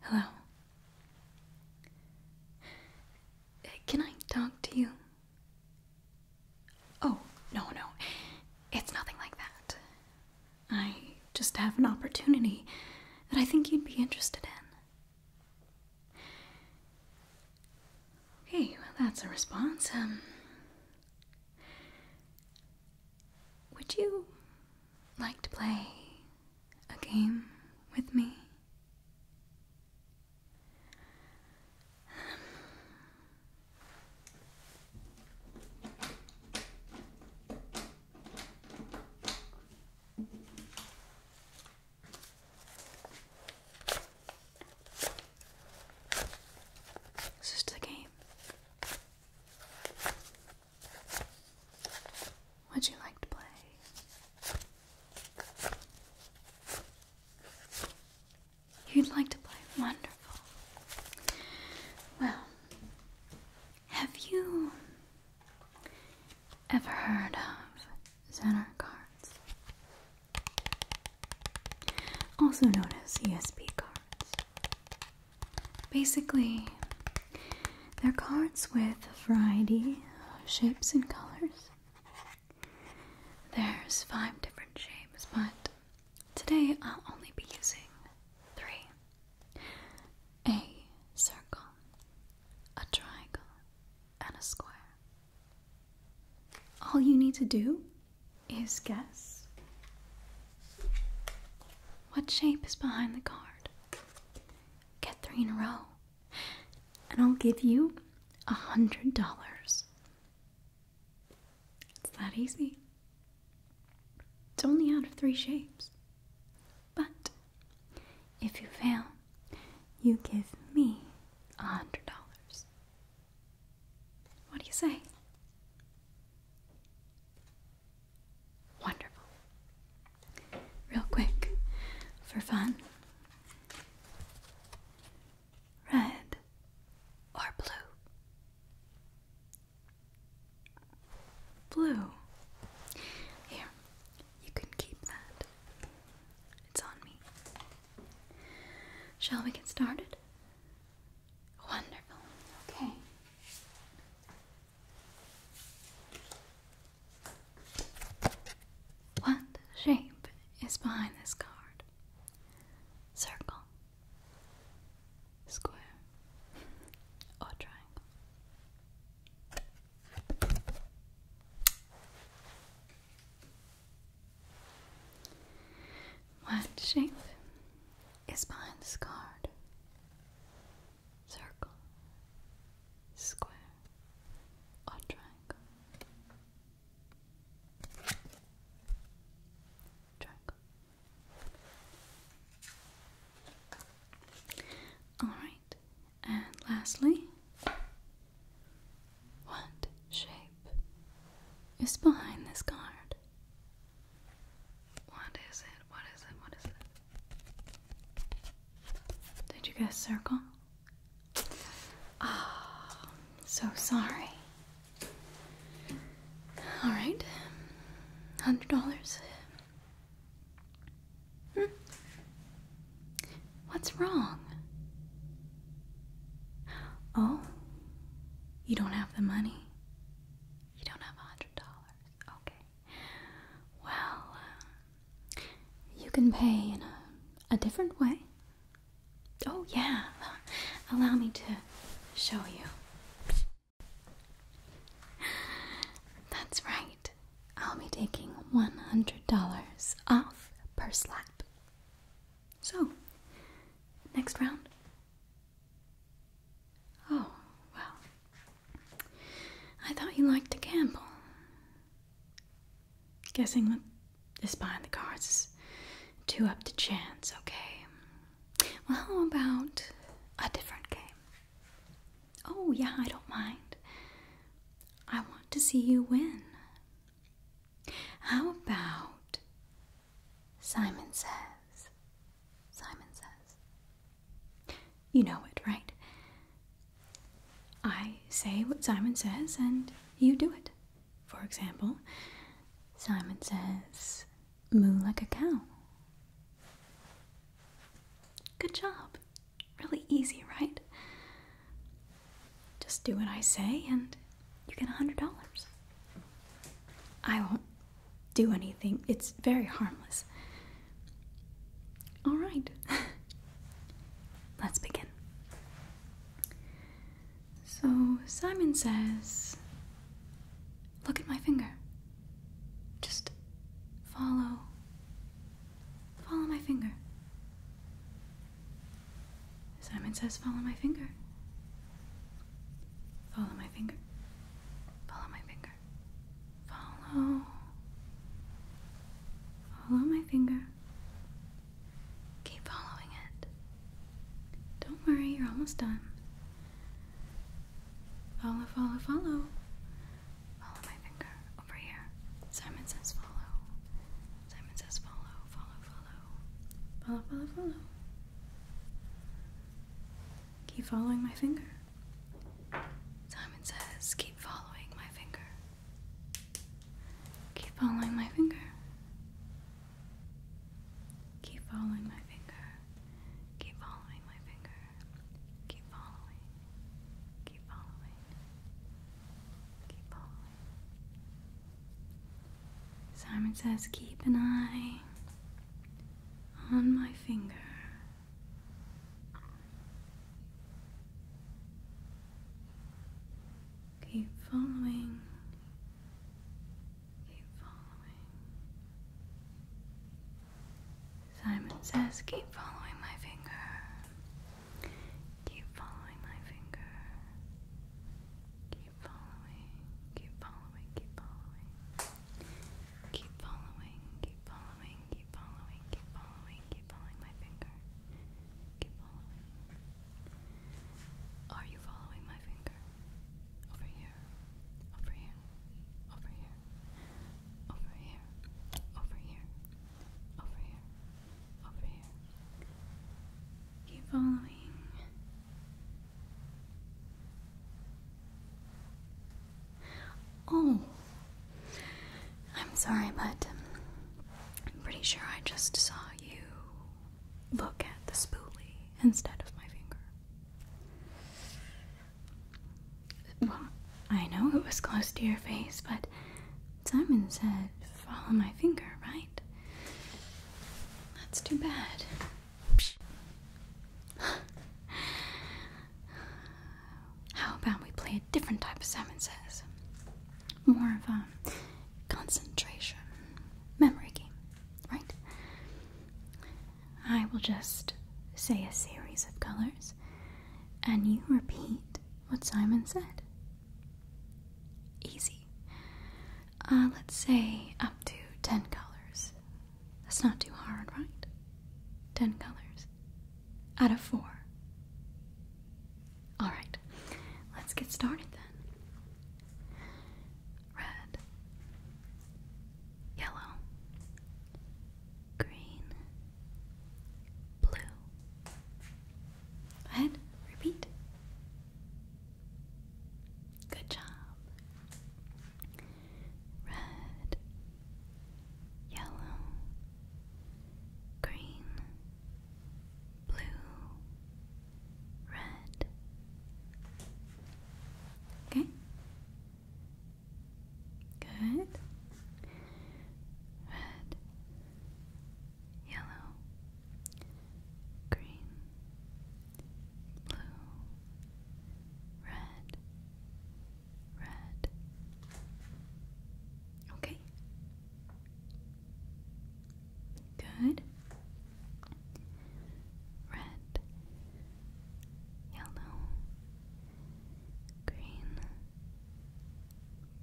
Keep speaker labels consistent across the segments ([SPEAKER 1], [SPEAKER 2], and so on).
[SPEAKER 1] Hello. Uh, can I talk to you? Oh, no, no. It's nothing like that. I just have an opportunity that I think you'd be interested in. Okay, well, that's a response. Um, would you like to play a game with me? It's just the game. Would you like to play? You'd like to play? Wonderful. Well, have you Ever heard of Zener cards? Also known as ESP cards. Basically, they're cards with a variety of shapes and colors. There's five different shapes, but today I'll only be using three a circle, a triangle, and a square. All you need to do is guess what shape is behind the card. Get three in a row, and I'll give you a hundred dollars. It's that easy. It's only out of three shapes. But if you fail, you give me a hundred dollars. What do you say? Wonderful. Real quick, for fun. Red or blue? Blue. Here, you can keep that. It's on me. Shall we get started? Wonderful. Okay. What shape is behind this card? Circle, square, or triangle? What shape is behind this card? Circle, square, or triangle? Triangle. All right, and lastly, what shape is behind this card? What is it? What is it? What is it? Did you guess circle? Oh, so sorry. Alright, $100 Hmm? What's wrong? Oh, you don't have the money? You don't have a hundred dollars. Okay. Well, uh, you can pay in a, a different way. Oh, yeah. Allow me to show you. That's right. I'll be taking $100 off per slap. So, next round. Oh, well. I thought you liked to gamble. Guessing this behind the cards is too up to chance, okay? Well, how about a different game? Oh, yeah, I don't mind. I want to see you win. How about Simon Says? Simon Says. You know it, right? I say what Simon says and you do it. For example, Simon says, Moo like a cow. Good job. Really easy, right? Just do what I say and you get a hundred dollars. I won't do anything, it's very harmless. All right, let's begin. So Simon says, Look at my finger. Just follow. Follow my finger. Simon says, follow my finger. Follow my finger. Follow my finger. Follow. Follow my finger. Keep following it. Don't worry, you're almost done. Follow, follow, follow. Follow my finger over here. Simon says follow. Simon says follow, follow, follow. Follow, follow, follow. Keep following my finger. Simon says, keep following my finger. Keep following my finger. Keep following my finger. Keep following my finger. Keep following. Simon says, keep an eye on my finger. Keep following. Keep following. Simon says, keep following my finger. Keep following my finger. Keep following, keep following, keep following. Keep following, keep following, keep following, keep following, keep following my finger. Keep following. Are you following my finger? Over here. Over here. Over here over here, over here, over here, over here. Keep following. Oh, I'm sorry, but um, I'm pretty sure I just saw you look at the spoolie instead of my finger. Well, I know it was close to your face, but Simon said, follow my finger, right? That's too bad. How about we play a different type of Simon Says? More of a concentration memory game, right? I will just say a series of colors, and you repeat what Simon said. Easy. Uh, let's say up to 10 colors. That's not too hard, right? 10 colors. Out of 4. Alright, let's get started then. Red, yellow, green, blue. ahead, repeat. Good job. Red, yellow, green, blue, red. Okay. Good. Red, yellow, green, blue, red, red. Okay. Good. Red, yellow, green,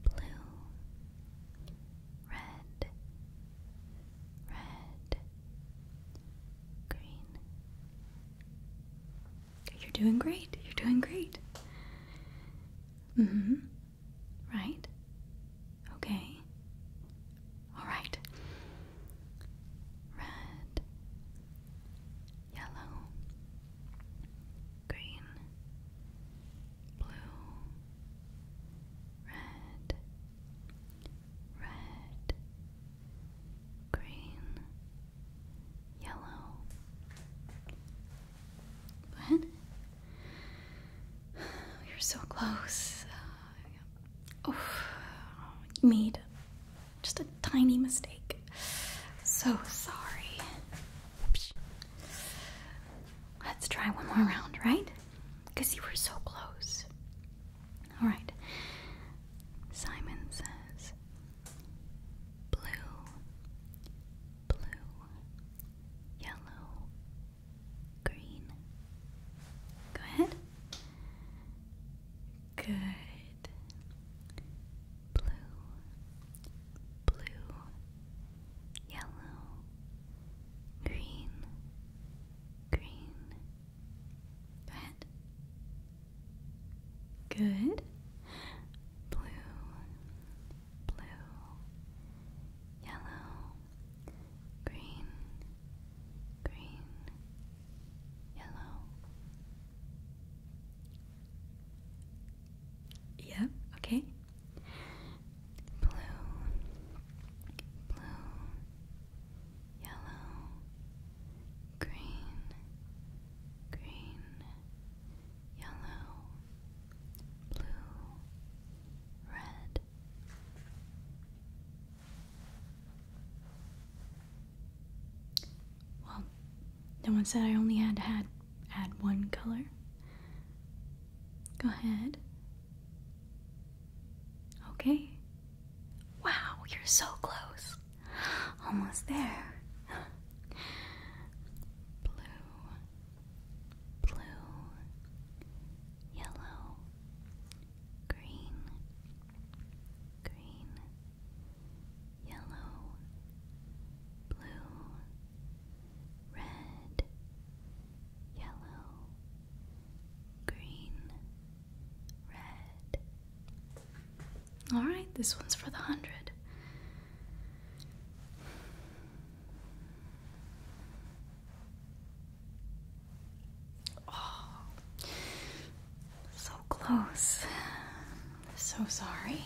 [SPEAKER 1] blue, red, red, green. You're doing great. You're doing great. hmm Right? Okay. All right red, yellow, green, blue, red, red, green, yellow. What? You're so close. Oh, mead. Just a tiny mistake. So sorry. Let's try one more round, right? Because you were so close. Alright. Simon says blue, blue, yellow, green. Go ahead. Good blue, blue, yellow, green, green, red. Good. Blue, blue, yellow, green, green, Yellow. Yeah, okay. Blue. Blue. Yellow. Green. Green. Yellow. Blue. Red. Well, no one said I only had to had add one color. Go ahead. Okay. Wow, you're so close. Almost there. Blue, blue, yellow, green, green, yellow, blue, red, yellow, green, red. Alright, this one's for the hundred. Oh, so close. So sorry.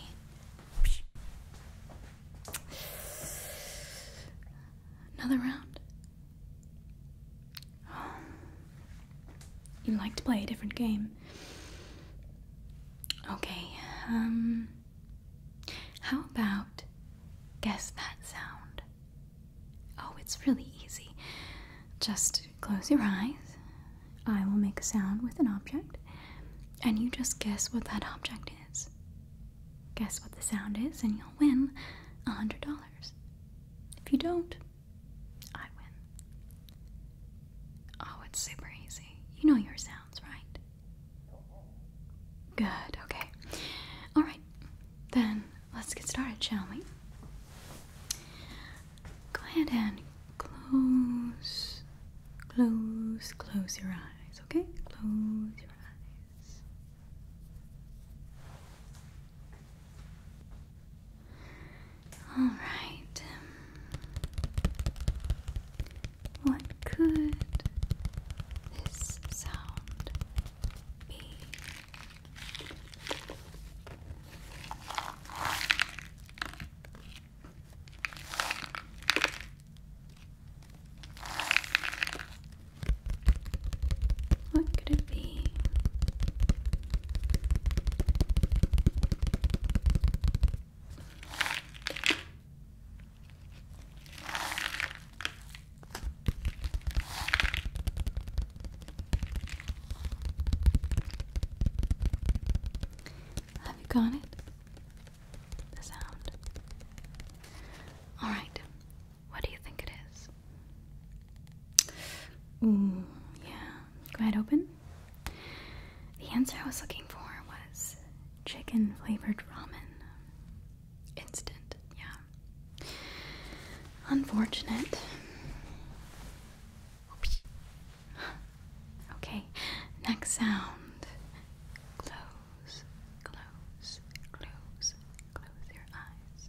[SPEAKER 1] Another round. you like to play a different game. Okay, um. How about guess that sound? Oh, it's really easy. Just close your eyes. I will make a sound with an object, and you just guess what that object is. Guess what the sound is, and you'll win a hundred dollars. If you don't, I win. Oh, it's super easy. You know your sounds, right? Good, okay. Alright, then let's get started, shall we? Go ahead and close, close, close your eyes, okay? Close your eyes. All right. What could this sound be? What could it be? Have you got it? The sound. Alright, what do you think it is? yeah. Go ahead, open. The answer I was looking for was chicken flavored ramen. Instant, yeah. Unfortunate. Okay, next sound. Close, close, close, close your eyes.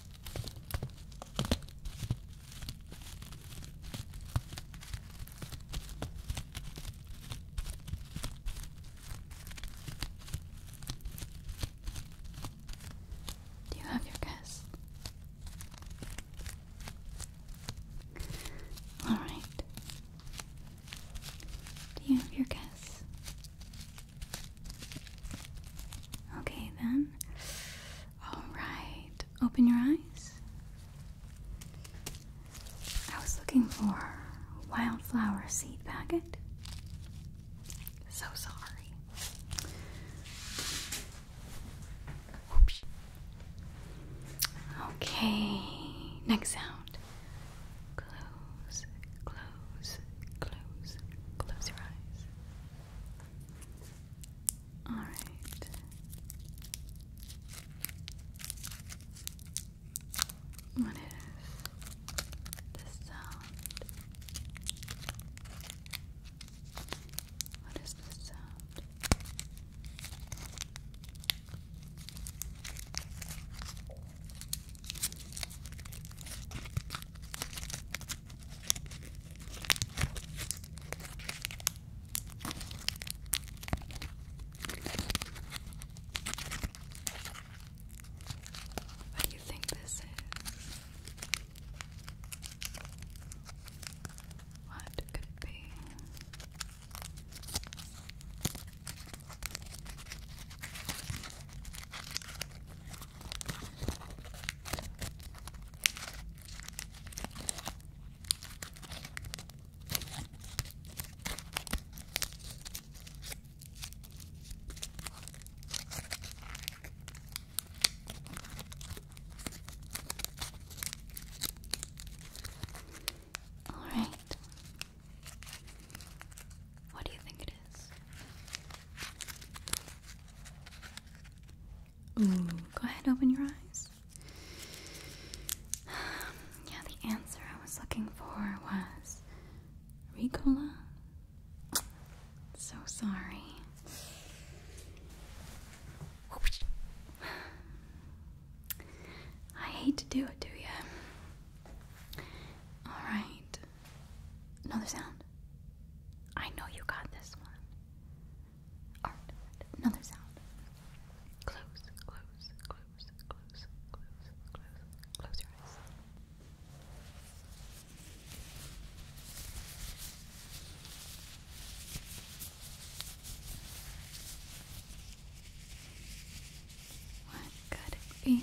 [SPEAKER 1] Do you have your guess? All right. Do you have your guess? Okay, then. All right. Open your eyes. I was looking for a wildflower seed packet. So sorry. Oops. Okay, next sound. Close, close, close, close, close your eyes. Alright. What is this sound? What is this sound? What do you think this is? What could it be? All right. What do you think it is? go ahead, open your eyes. Yeah, the answer I was looking for was Ricola. So sorry. I hate to do it do you. Alright, Another sound. I know you got this one. another sound. Close, close, close, close, close, close, close your eyes. What could it be?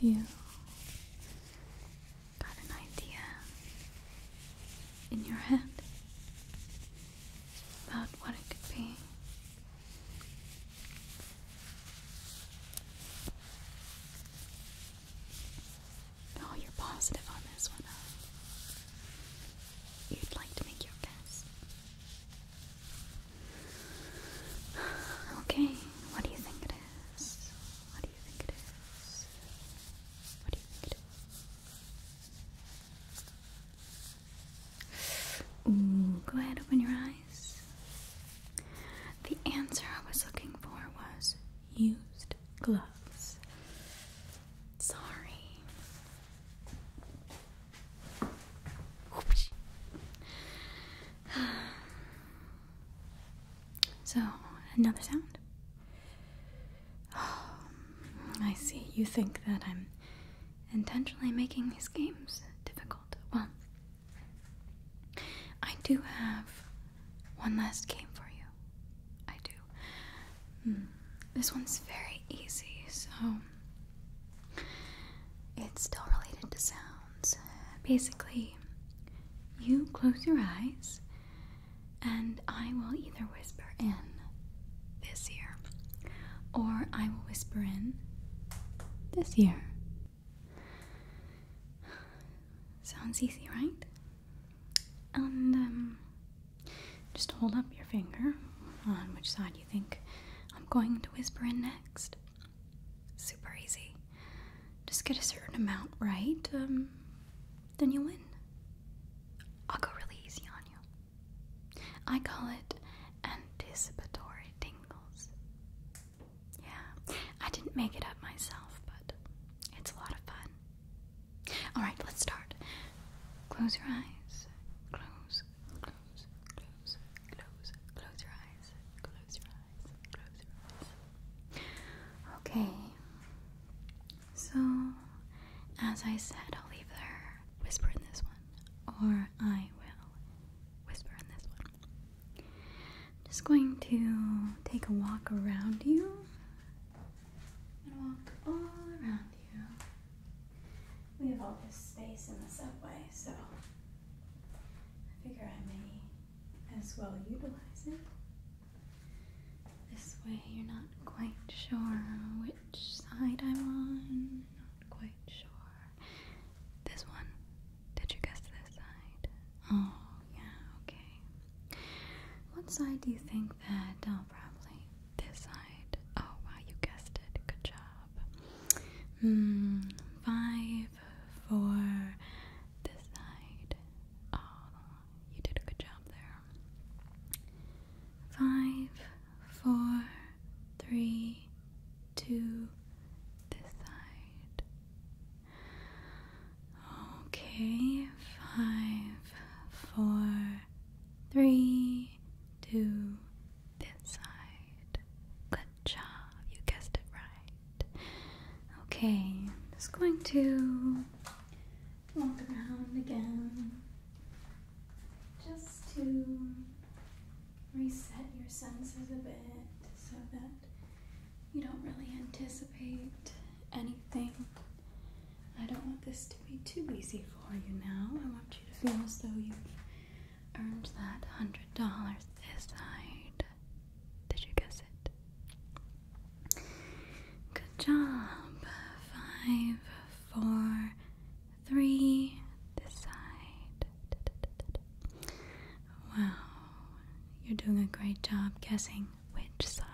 [SPEAKER 1] Have you got an idea in your head about what it could be? Oh, you're positive on this one, You'd like to make your best. Okay, what do you think it is? What do you think it is? What do you think it is? go ahead, open your eyes. The answer I was looking for was used gloves. Sorry. So, another sound. I see. You think that I'm intentionally making these games difficult. Well, I do have one last game for you. I do. Hmm. This one's very easy, so it's still related to sounds. Basically, you close your eyes, and I will either whisper in this year. Or I will whisper in this year. Sounds easy, right? And um, just hold up your finger on which side you think I'm going to whisper in next. Super easy. Just get a certain amount right, um, then you win. I'll go really easy on you. I call it anticipatory tingles. Yeah, I didn't make it up myself, but it's a lot of fun. Alright, let's start. Close your eyes. Close, close, close, close, close your eyes. Close your eyes. Close your eyes. Okay. So, as I said, I'll leave their whisper in this one or I will whisper in this one. am just going to take a walk around you and walk all around you. We have all this space in the subway, so I figure I may as well utilize it. This way, you're not quite sure which side I'm on quite sure. This one? Did you guess this side? Oh, yeah, okay. What side do you think that? Oh, probably this side. Oh, wow, you guessed it. Good job. Hmm, five, four, this side. Oh, you did a good job there five, four, three, two, this side. Okay, five, four, three, two, this side. Good job, you guessed it right. Okay, just going to walk around again just to reset your senses a bit so that you don't really anticipate anything. I don't want this to be too easy for you now. I want you to feel as though you earned that hundred dollars this side. Did you guess it? Good job. Five, four, three this side. Wow, you're doing a great job guessing which side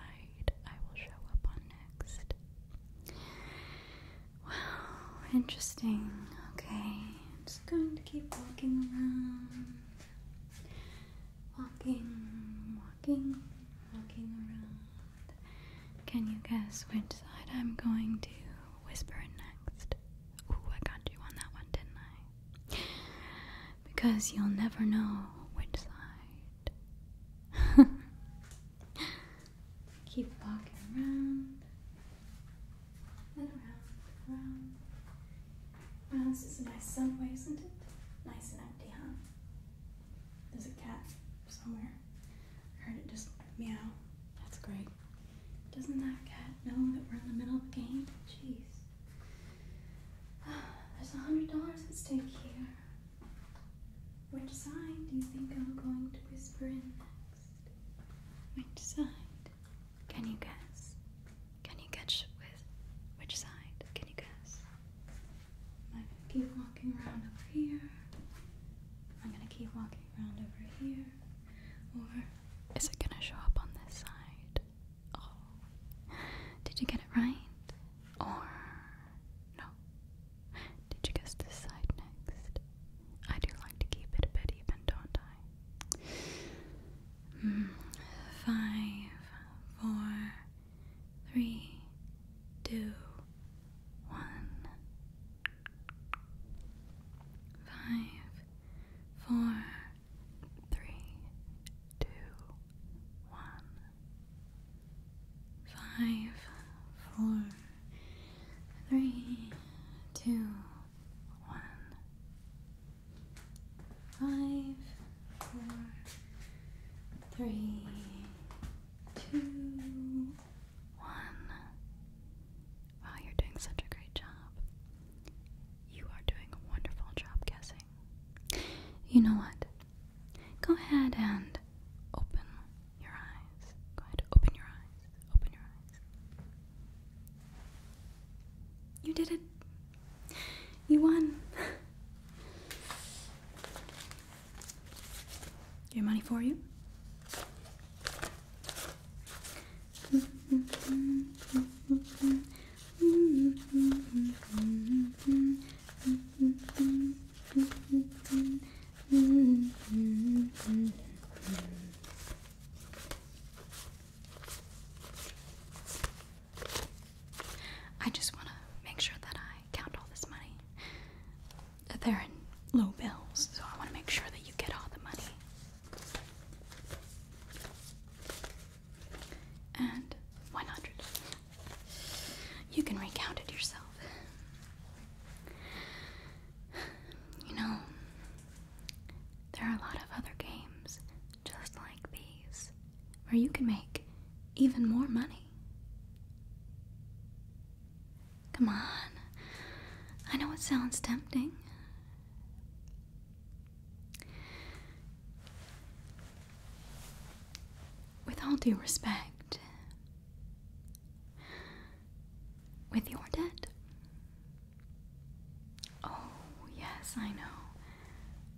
[SPEAKER 1] I will show up on next. Wow, interesting. Okay, i just going to keep walking around. Walking, walking, walking around. Can you guess which side I'm going to whisper next? Ooh, I got you on that one, didn't I? Because you'll never know which side. Keep walking around and around, around. Wow, this is a nice subway, isn't it? Nice and empty, huh? There's a cat somewhere. I heard it just meow. That's great. Doesn't that cat know that we're in the middle of a game? Jeez. There's a hundred dollars at stake here. Which side do you think I'm going to whisper in next? Which side? Can you guess? Can you catch with which side? Can you guess? Am I gonna keep walking around over here? I'm gonna keep walking around over here. Or is it gonna show up on this side? Oh. Did you get it right? Or no. Did you guess this side next? I do like to keep it a bit even, don't I? Hmm. five, four, three, two, one. Five, four, three, two, one. Five, four, three, two, one. Five, four, three, two, one. Wow, you're doing such a great job. You are doing a wonderful job guessing. You know what? Go ahead and open your eyes. Go ahead, open your eyes. Open your eyes. You did it. You won. Your money for you. I just want to make sure that I count all this money they're in low bills, so I want to make sure that you get all the money. And 100. You can recount it yourself. You know, there are a lot of other games just like these where you can make even more money. Come on. I know it sounds tempting. With all due respect, with your debt. Oh, yes, I know.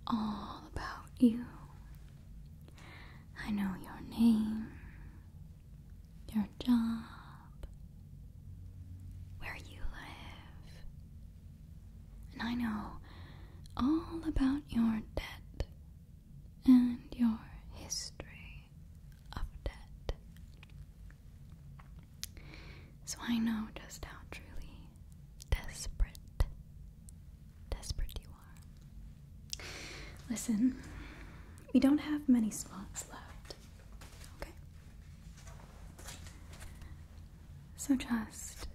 [SPEAKER 1] All about you. I know your name your job, where you live. And I know all about your debt and your history of debt. So I know just how truly desperate, desperate you Listen, we don't have many spots left. Okay? So just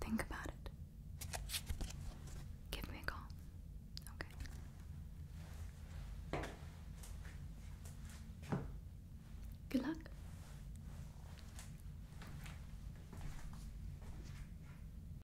[SPEAKER 1] think about it. Give me a call. Okay? Good luck.